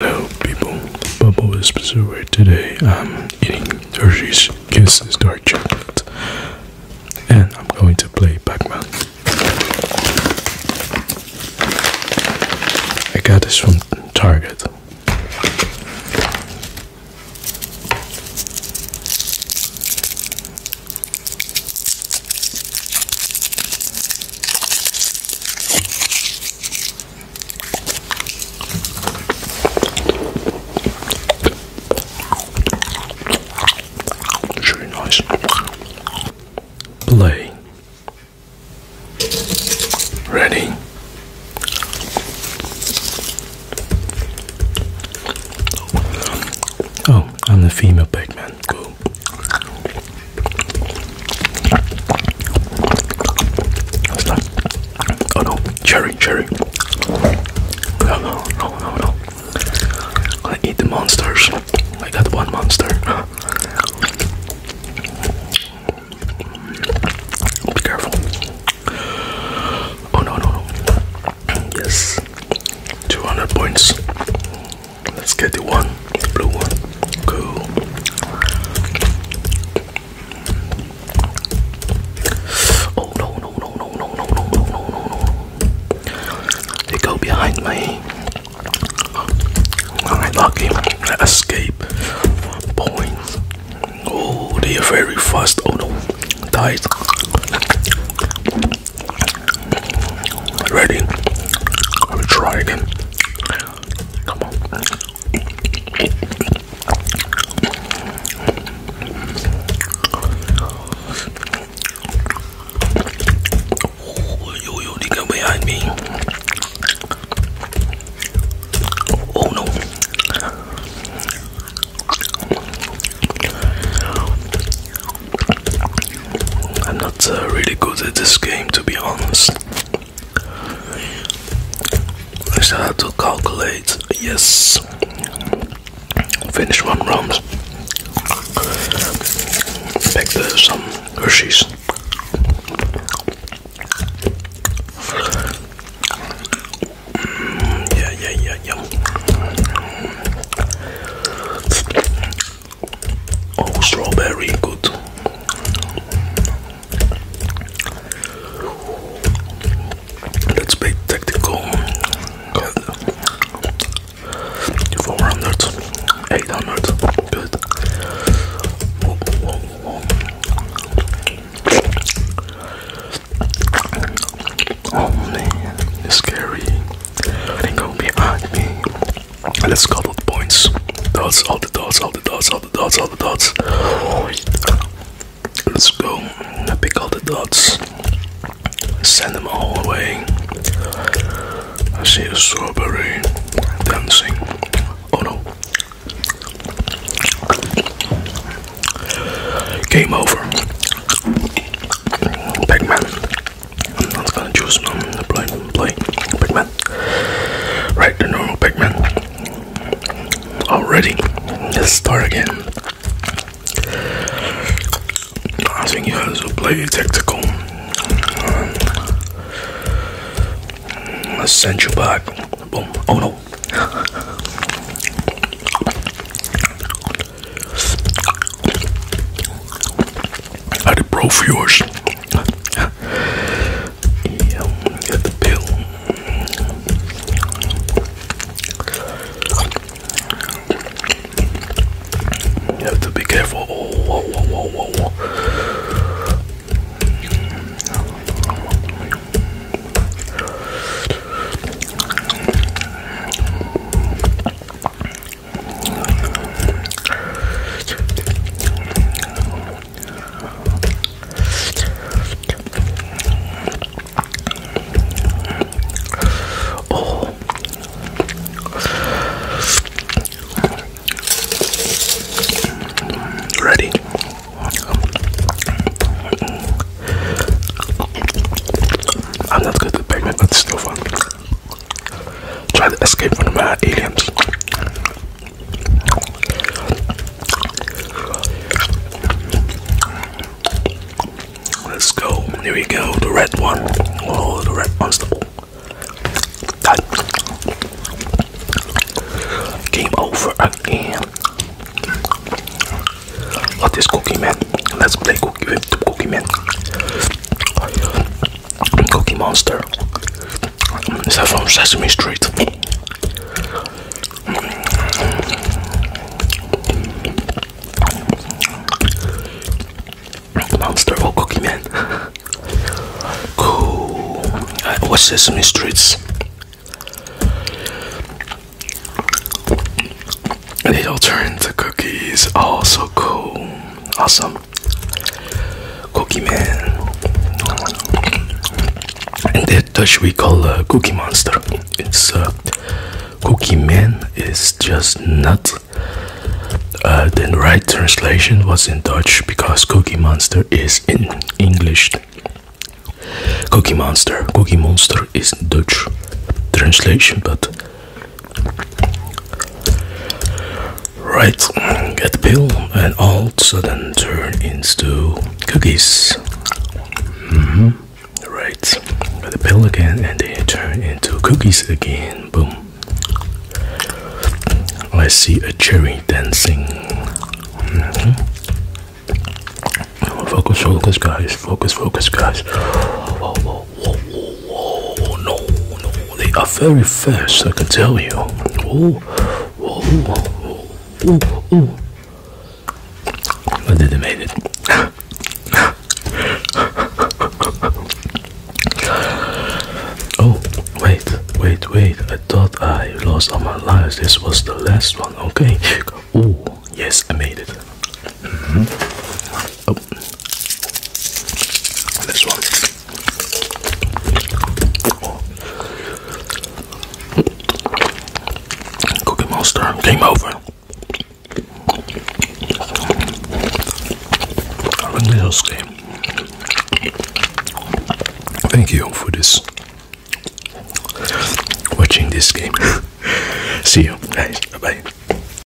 Hello people, Bubble is where today I'm eating Hershey's Kisses Dark Chocolate and I'm going to play Pac-Man. I got this from Target. It's nice. Play. Ready. Oh, I'm the female Pac-Man. Cool. What's Oh no, cherry, cherry. No, no, no, no, no. I eat the monsters. I got one monster. Be careful. Oh no, no, no. Yes. 200 points. Let's get the one, the blue one. Cool. Oh no no no no no no no no no no no! They go behind me. Alright, lucky. Escape points. Oh, they are very fast. Oh no, died. Ready? I will try again. Come on. Oh, yo, yo, behind me. Oh no. I'm not uh, really good at this game to be honest. I us try to calculate. Yes. Finish one round. Pick the some Hershey's. Mm, yeah, yeah, yeah, yeah. Oh, strawberry, good. Let's play tactical. Good. good. Oh man, scary. They go behind me. Let's the points. Dots, all the dots, all the dots, all the dots, all the dots. Let's go. Pick all the dots. Send them all away. I see a strawberry dancing. Oh no. Game over. Pac-Man. I'm not gonna choose um, play, play Pac-Man. Right, the normal Pac-Man. Already, let's start again. I think you guys will play tactical. I sent you back. Boom. Oh no. Are the pro viewers? yeah, get the pill. You have to be careful. Oh, whoa, whoa, whoa, whoa, whoa. Oh. Ready? I'm not good with pregnant, but it's still fun try to escape from my aliens. Let's go. Here we go. The red one. Oh, the red constable. Game over again. What is Cookie Man? Let's play Cookie Man. Cookie Monster. Is that from Sesame Street? Monster or Cookie Man? cool. I uh, Sesame Streets. And it all turn to cookies. Oh, so cool. Awesome. Cookie Man, and that Dutch we call uh, Cookie Monster. It's uh, Cookie Man is just nut. Uh, the right translation was in Dutch because Cookie Monster is in English. Cookie Monster, Cookie Monster is Dutch translation, but Right, get the pill and all sudden turn into cookies. Mm hmm Right, get the pill again and then turn into cookies again. Boom. I see a cherry dancing. -hmm. Focus, focus, guys. Focus, focus, guys whoa, whoa, whoa, no, no, they are very fast, I can tell you. Oh, oh, oh, oh, oh. I didn't make it. oh, wait, wait, wait. I thought I lost all my lives. This was the last one. Okay. Oh, yes, I made it. Mm -hmm. Oh. This one. Cookie Monster came over. I like this game. Thank you for this. Watching this game. See you guys. Bye bye.